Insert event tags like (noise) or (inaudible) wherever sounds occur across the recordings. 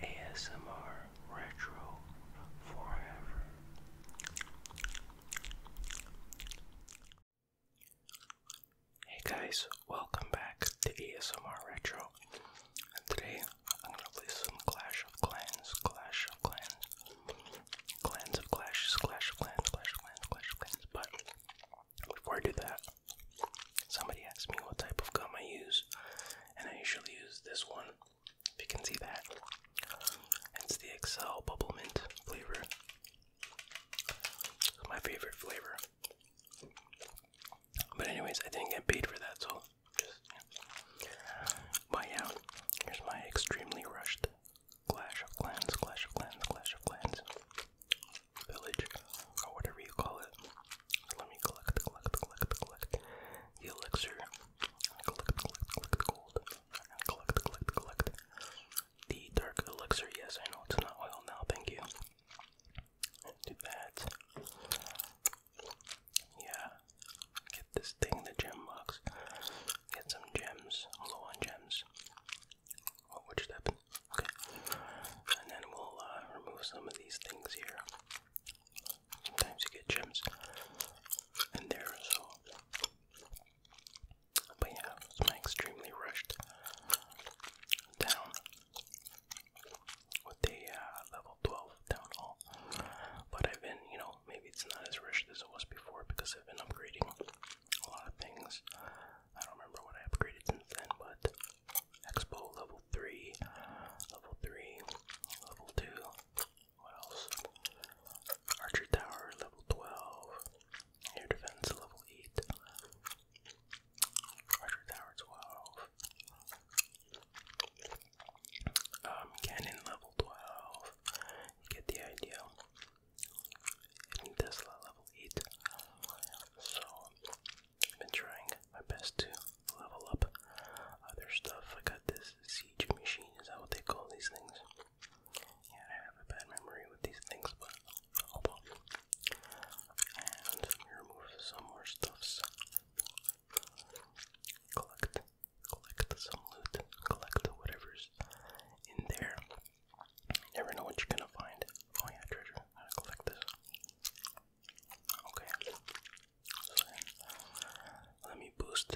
ASMR Retro Forever. Hey guys, welcome back to ASMR Retro. And today I'm gonna play Clash of Clans, Clash of Clans, Clans of Clashes, Clash of Clans, Clash of Clans, Clash of Clans. But before I do that, Somebody asked me what type of gum I use, and I usually use this one. If you can see that, it's the Excel Bubble Mint flavor. my favorite flavor. But anyways, I didn't get paid for that, so just yeah. Here's my extremely rushed Clash of Clans, Clash of Clans, Clash of Clans village or whatever you call it. let me collect, collect, collect, collect the elixir, collect, collect, collect gold, collect, collect, collect the dark elixir. Yes, I know it's not oil now, thank you. Do that. Yeah, get this thing, the gem box. Get some gems. I'm low on gems. Oh, which step? Okay. And then we'll uh, remove some of these things here. Sometimes you get gems in there, so. But yeah, it's my extremely rushed down with a uh, level 12 down all. But I've been, you know, maybe it's not as rushed as it was before because I've been upgrading a lot of things. I don't remember what I upgraded since then, but Expo level 3, level 3, level 2. What else? Archer Tower level 12, air defense level 8, Archer Tower 12, um, cannon level 12. get the idea. Tesla level 8. So, I've been trying my best to level up other stuff. I got this siege machine, is that what they call these things? Yeah, I have a bad memory with these things, but I'll pop. And remove some more stuffs. Collect, collect some loot, collect whatever's in there. never know what you're gonna find. Oh yeah, treasure. collect this. Okay. let me boost.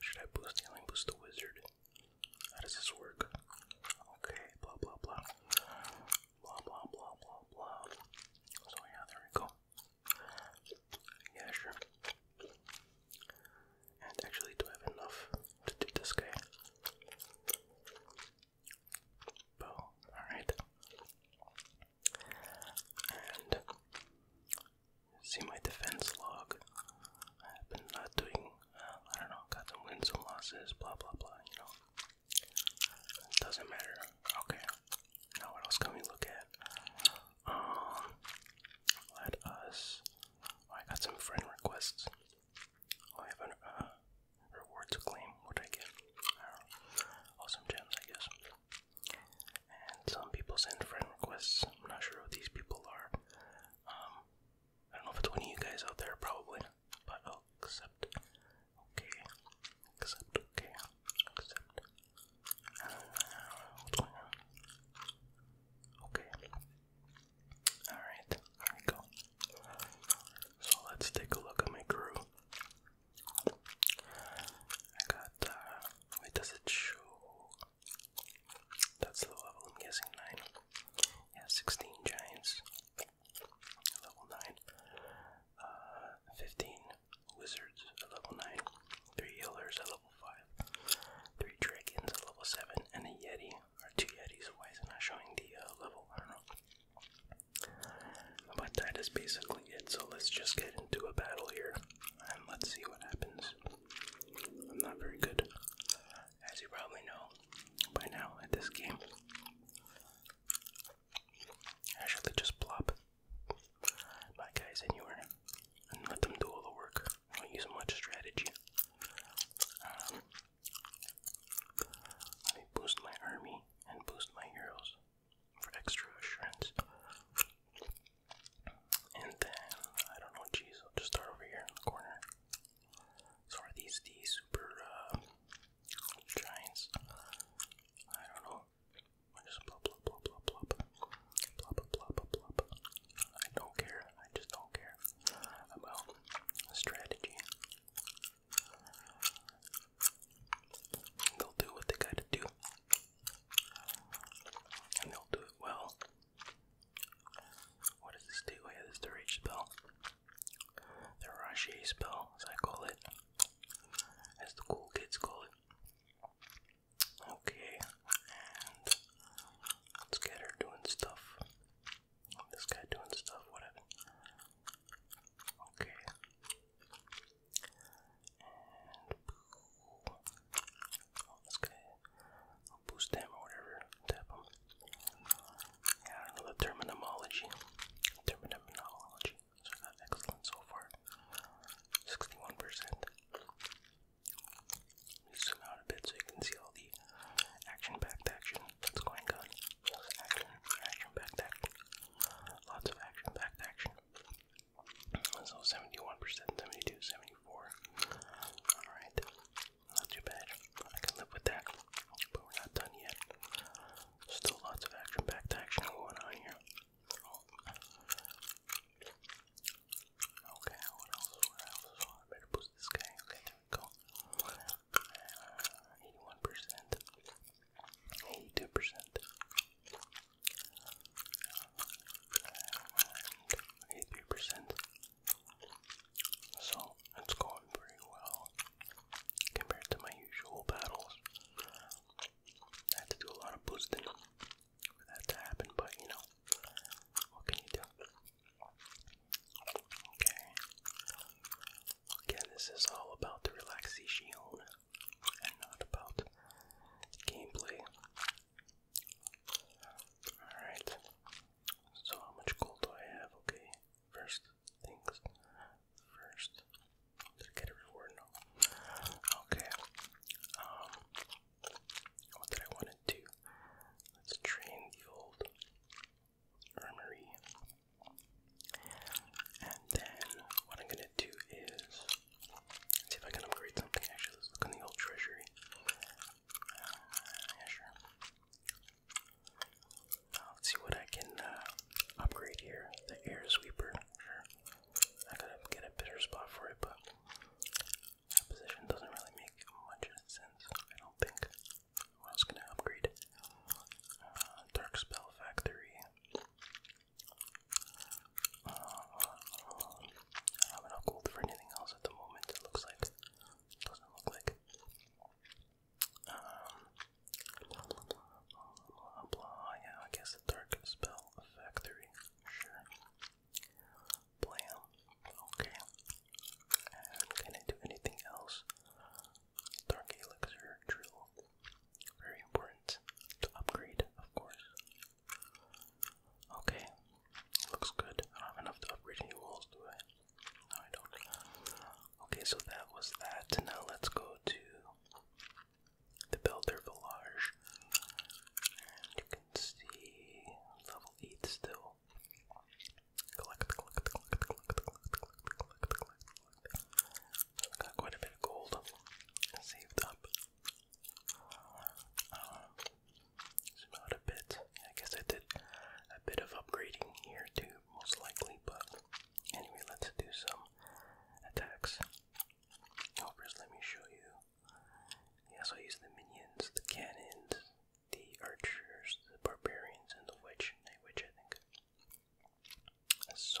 Should I boost? Yeah, let boost the wizard. How does this work? Okay, blah blah blah. Blah blah blah blah blah. So yeah, there we go. Yeah, sure. And actually, do I have enough to do this guy? Alright. And see my defense log. I've been not doing, uh, I don't know, got some wins and losses, blah blah blah, you know. Doesn't matter. Okay. Now what else can we look at? Um let us oh, I got some friend requests. Oh, I have an uh, rewards claim would I get? Uh, awesome gems, I guess. And some people send friend requests. I'm not sure who these people are. Um, I don't know if it's one of you guys out there, probably. But oh, accept. Okay. Accept. Okay. Accept. I uh, what's going on. Okay. Alright, there we go. So let's take a look at my crew. I got, uh, wait, does it show? That's the level, I'm guessing 9. Yeah, 16 giants. Level 9. Uh, 15 wizards level 9. 3 healers at level 5. 3 dragons at level 7. And a yeti, or 2 yetis. Why is it not showing the uh, level? I don't know. But that is basically it, so let's just get into a battle here and let's see what happens. I'm not very good, as you probably know by now, at this game. I should just plop my guys anywhere and let them do all the work. I don't use much strategy. Um, let me boost my army and boost my heroes for extra assurance. And then, I don't know, geez, I'll just start over here in the corner. So are these the super uh, giants? I don't know. I just plop, plop, plop, plop, plop. Plop, plop, I don't care. I just don't care about strategy. They'll do what they gotta do, and they'll do it well. What does this do? Oh, the rage spell, the Rashi spell, as I call it, as the cool kids call it. Okay, let's get her doing stuff. This guy doing stuff, whatever. Okay. And boost them or whatever. Tap them. Yeah, I terminology. Terminology. So excellent so far. 61%. percent zoom out a bit so you can see all the action-packed action that's going on. Action, action-packed action. Lots of action, packed action. So 71%, 72, 74. Alright. Not too bad. I can live with that. But we're not done yet. Still lots of action, packed action going on here. Okay, what else? What else? Oh, better boost this guy. Okay, there we go. 81%. Uh, 82%. Eighty-three percent. So it's going pretty well compared to my usual battles. I had to do a lot of boosting for that to happen, but you know, what can you do? Okay. Again, this is all about the relaxation and not about gameplay. Alright, so how much gold do I have? Okay, first things first. get a reward? No. Okay, um, what did I want to do? Let's train the old armory. And then what I'm gonna do is see if I can upgrade something. Actually, let's look in the old treasury. Uh, sure. Uh, let's see what I can uh, upgrade here. The air sweeper. Sure. I gotta get a better spot for it, but that position doesn't really make much sense. I don't think. What else can I upgrade? Dark Spell Factory. I haven't called for anything else at the moment. It looks like doesn't look like. Um, blah, blah, Yeah, I guess the dark spell factory. Sure. Blam. Okay. can I do anything else? Dark Elixir Drill. Very important to upgrade, of course. Okay, looks good. enough to upgrade any walls, do I? No, I don't. Okay, so that was that. Now let's go to the Builder Village. And you can see level 8 still. Got quite a bit of gold saved up. Um, a bit. I guess I did a bit of upgrading here too, most likely, but anyway, let's do some attacks. first let me show you. Yeah, I use the minions, the cannons, the archers, the barbarians, and the witch, night witch, I think. So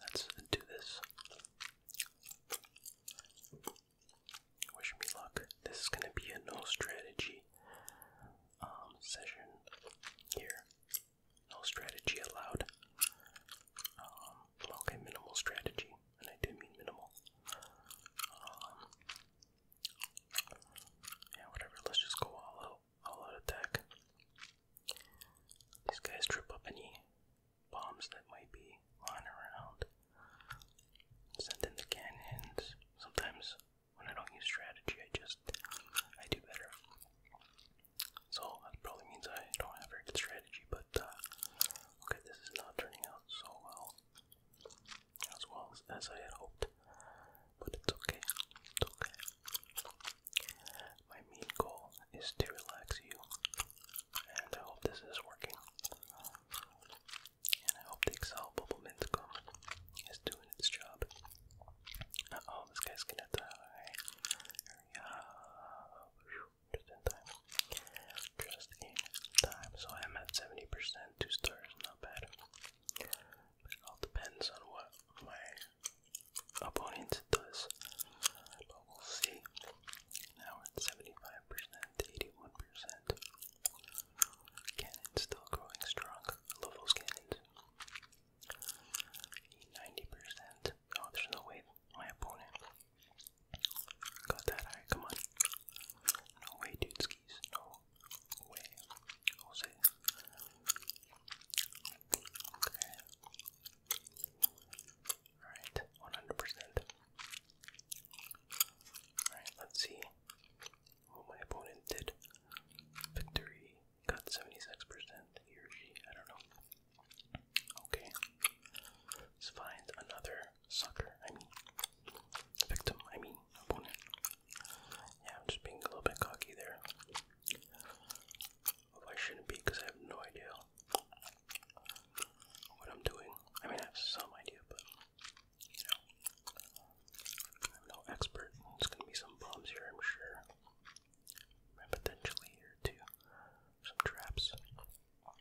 let's do this. Wish me luck. This is gonna be a no strategy um, session here. No strategy allowed. Um, okay, minimal strategy, and I do mean minimal. Um, yeah, whatever. Let's just go all out all out attack. These guys trip up any bombs that might be lying around. Send in the cannons. Sometimes when I don't use strategy, I just I do better. So that probably means I don't have very good strategy, but uh, okay, this is not turning out so well as well as I had hoped, but it's okay. It's okay. My main goal is to relax you, and I hope this is working. And I hope the Excel bubble Minscom is doing its job. oh, this guy's gonna die. Hurry up. Just in time. Just in time. So I'm at 70%, two stars, not bad. all depends on what my opponent does. But we Now we 75%, 81%. Cannon's still growing strong. I love 90%. Oh, there's my opponent got that Come on. No way, dude skis. No way. Jose. Okay. Alright, 100%. Alright, let's see what my opponent did. Victory got 76%, he or she, I don't know. Okay. Let's find another sucker, I mean, victim, I mean, opponent. Yeah, I'm just being a little bit cocky there. I shouldn't be because I have no idea what I'm doing. I mean, I have some idea, but you know, I'm no expert. There's gonna be some bombs here, I'm sure. And potentially here too, some traps. Uh,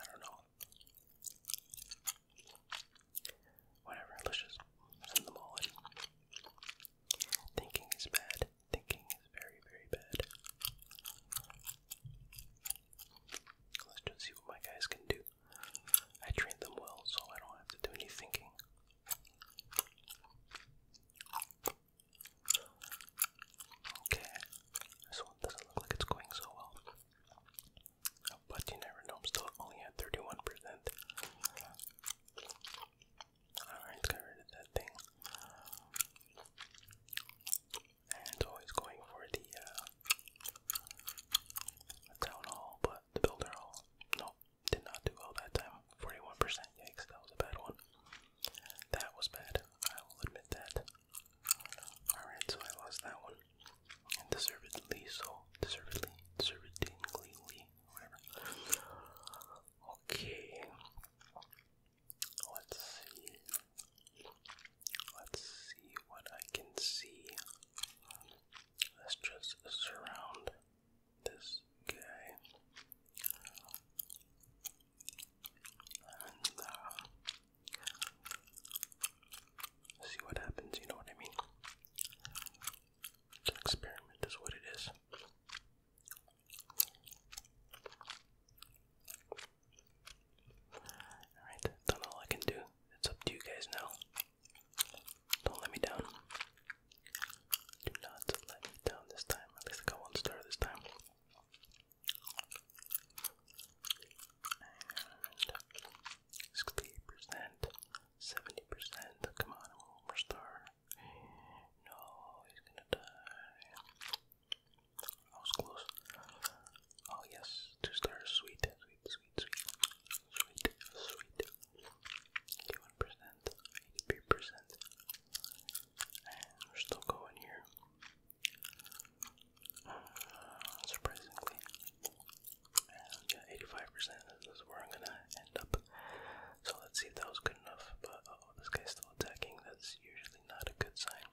I don't know. Whatever, let's just send them all Thinking is bad. Thinking is very, very bad. Let's just see what my guys can do. I train them well, so I don't have to do any thinking. Okay, this one doesn't look like it's going so well. But you never know, I'm still only at 31%. Alright, let rid of that thing. And always going for the, uh, town hall, but the builder hall, no, did not do well that time. 41%, yikes, that was a bad one. That was bad, I will admit that. Alright, so I lost that one and deservedly so, deservedly, deservedly, whatever. Okay, let's see. Let's see what I can see. Let's just surround this guy. And, uh, see what happens, you know what I mean? It's an experiment, is what it is. Alright, that's all I can do. It's up to you guys now. Don't let me down. Do not let me down this time. At least I one star this time. 68%, 70%. Come on, I'm star. No, he's gonna die. I was close. Oh, yes, two stars. Sweet, sweet, sweet, sweet, sweet, sweet. 81%, 83%. we're still going here. (sighs) surprisingly, yeah, 85% is where I'm gonna end up. So let's see if that was good enough. But uh, oh, this guy's still attacking. That's usually not a good sign.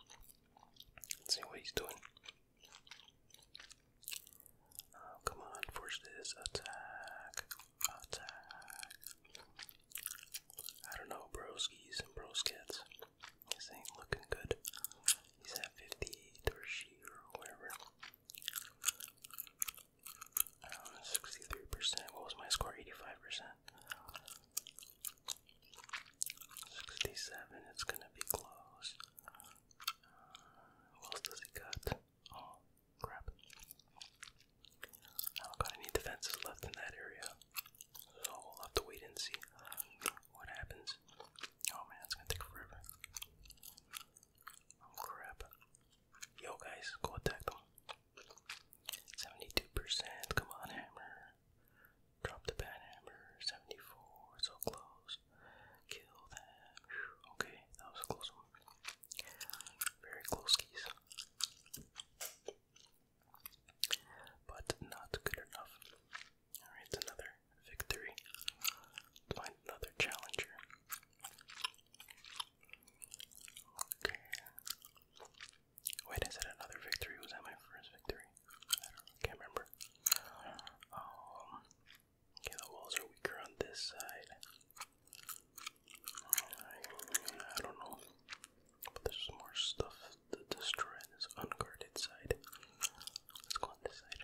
Let's see what he's doing. Oh, come on, force this attack. Attack. I don't know, broskies and broskets. This ain't looking good. He's at 58 or she or whatever. 63%. What was my score? 85%. 67. It's gonna be close. what else does it got? Oh, crap. Oh, I don't got any defenses left in that area. So we'll have to wait and see what happens. Oh man, it's gonna take forever. Oh, crap. Yo guys, go attack them. 72%, come on hammer. Drop the bad hammer. 74, so close. Kill that. Okay, that was a close one. Very close keys. But not good enough. Alright, another victory. Find another challenger. Wait, is it another victory? Was that my first victory? I can't remember. Um, okay, the walls are weaker on this side. I, don't know. But there's more stuff to destroy on this unguarded side. Let's go on this side.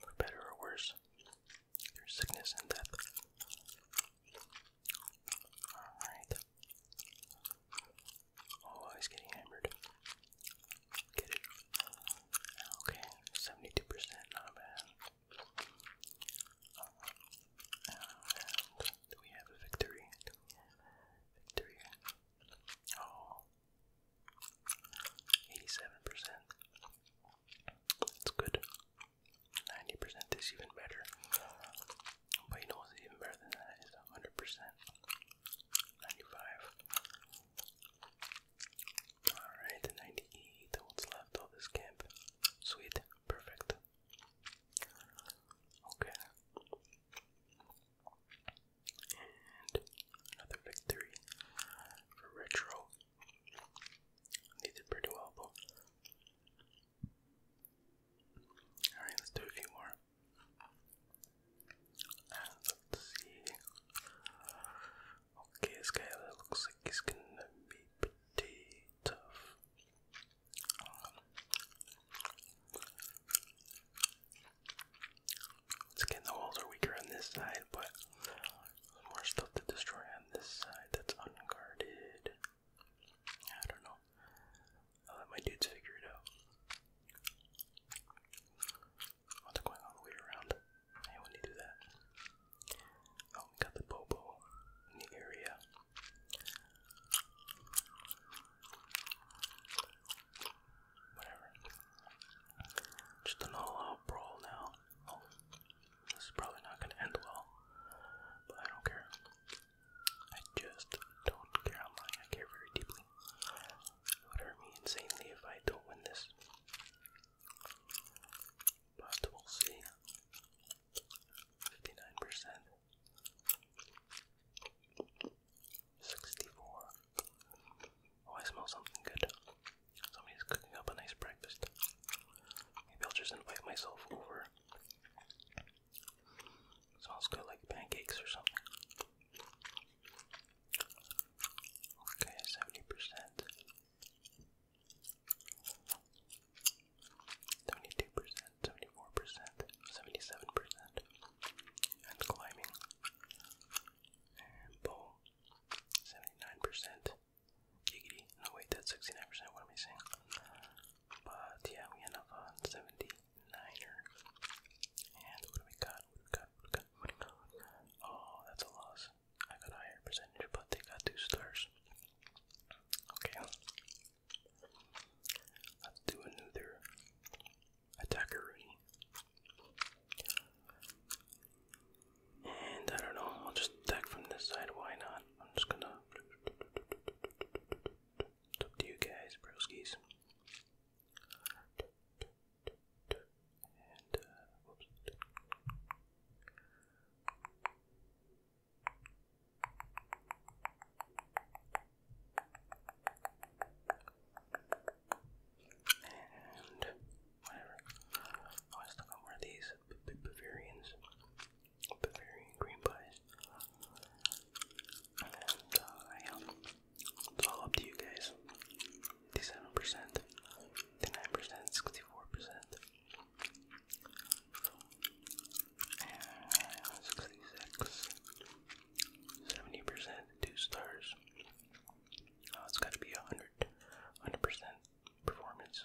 for better or worse, through sickness and death. Alright. Oh, he's getting hammered. Get it. Okay, 72%, not bad. And we have a victory? victory? Oh, 87%. That's good. 90% is even better. But you know what's even better than that is 100%. 95. Alright, 98. What's left of this camp? Sweet. Perfect. Okay. And another victory for Retro. They did pretty well though. Alright, let's do a few more. let's see. Okay, this looks like he's gonna be pretty tough. Um, it's getting the walls are weaker on this side, but more stuff to destroy on this side that's unguarded. I don't know. let my dudes figure it out. What's going all the way around? I want that. Oh, we got the Bobo in the area whatever. Just an all-out brawl now. Oh, this is probably not gonna end well, but I don't care. I just don't care. I'm lying. I care very deeply. It would hurt me insanely if I don't win this. But we'll see. 59%. 64 Oh, I smell something good. Somebody's cooking up a nice breakfast. Maybe I'll just invite myself over. smells good like pancakes or something. Okay, 70%. 72%, 74%, 77%. And climbing. And 79%. Giggity. No, wait, that's 69%. What am I saying? But yeah, we end up on 79 And what do we got? What do we got? What do we got? Oh, that's a loss. I got higher percentage, but they got two stars. Okay. Let's do another attacker Rooney. And I don't know, I'll just attack from this side, why not? I'm just gonna. It's up to you guys, broskies. Uh, and whatever. Oh, I still got more of these Bavarians, Bavarian green pies. And uh, yeah, it's all up to you guys. 57%, 59%, 64%. And 66, percent 2 stars, uh, it's got to be a hundred, hundred percent performance,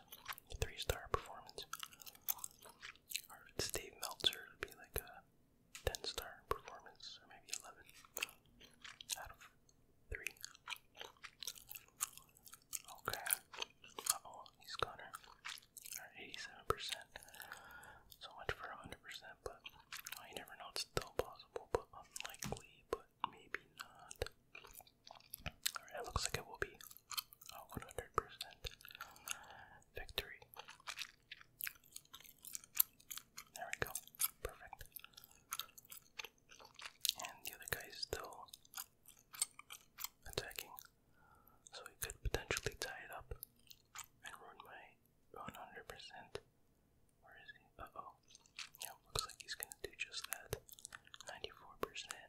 three star performance. Or if Meltzer, would be like a ten star performance, or maybe eleven out of three. Okay. Uh oh, he's gone. eighty-seven percent. So much for a hundred percent, but you never know. It's still possible, but unlikely. But maybe not. it looks like it will be a 100% victory. There we go. Perfect. And the other guy is still attacking. So he could potentially tie it up and ruin my 100% where is he? Uh oh. Yeah, looks like he's gonna do just that. 94%.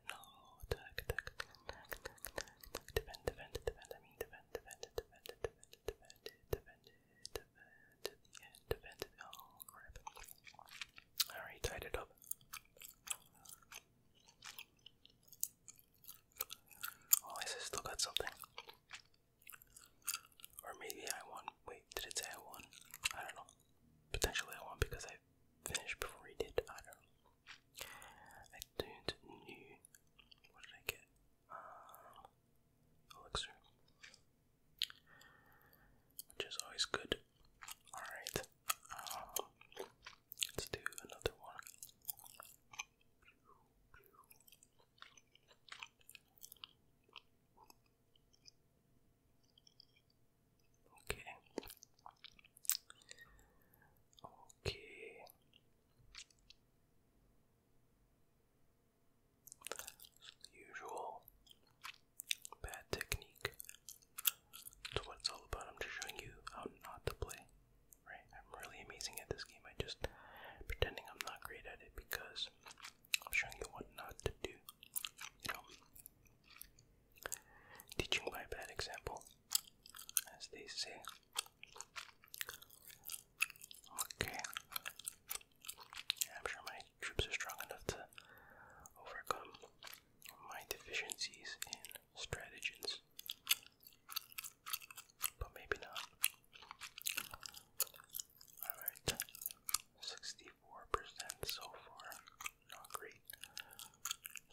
No, attack, attack, attack, attack, attack, attack. Defend, defend, defend. I mean, defend, defend, defend, defend, defend, defend, defend, defend, defend. Oh, crap. Alright, tied it up. Oh, I still got something. Or maybe I won. Wait, did it say I won? I don't know potentially I won because I finished before he did. I don't know. I don't know. What did I get? Uh, elixir. Which is always good. Alright. Um, let's do another one. Okay. Okay. Usual bad technique. That's what it's all about. I'm just showing you how not to play. Right? I'm really amazing at this game. I just pretending I'm not great at it because I'm showing you what not to do. You know, teaching by bad example, as they say. Okay, I'm sure my troops are strong enough to overcome my deficiencies in stratagems, but maybe not. Alright, 64% so far. Not great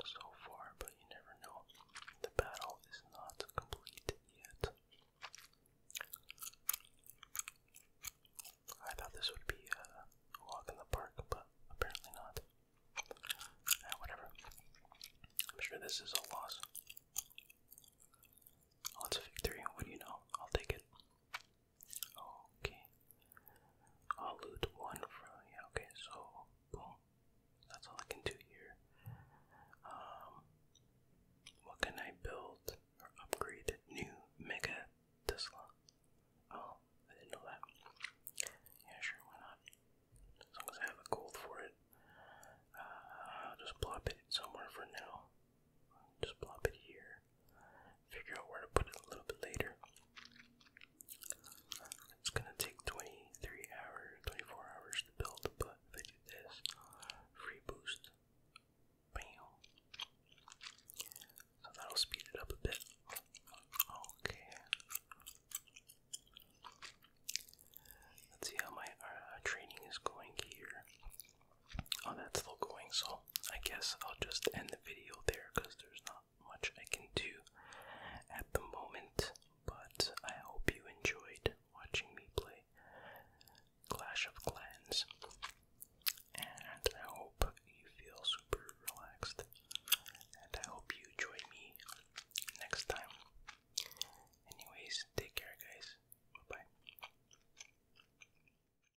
so far, but you never know. The battle is not complete yet. I thought this would be a walk in the park, but apparently not. Ah, whatever. I'm sure this is a loss. Oh, a victory. What do you know? I'll take it. Okay. I'll loot one from yeah, okay, so boom. That's all I can do here. Um what can I build or upgrade? New mega Tesla. Oh, I didn't know that. Yeah, sure, why not? As long as I have a gold for it. Uh, I'll just plop it somewhere for now. Just plop it here. Figure out where to put it a little bit later. It's gonna take 23 hours, 24 hours to build, but if I do this, free boost, bam. So that'll speed it up a bit. Okay. Let's see how my uh, training is going here. Oh, that's local wing, so I guess I'll just end the video there because there's not much I can do at the moment. But I hope you enjoyed watching me play Clash of Clans, and I hope you feel super relaxed. And I hope you join me next time. Anyways, take care, guys. bye.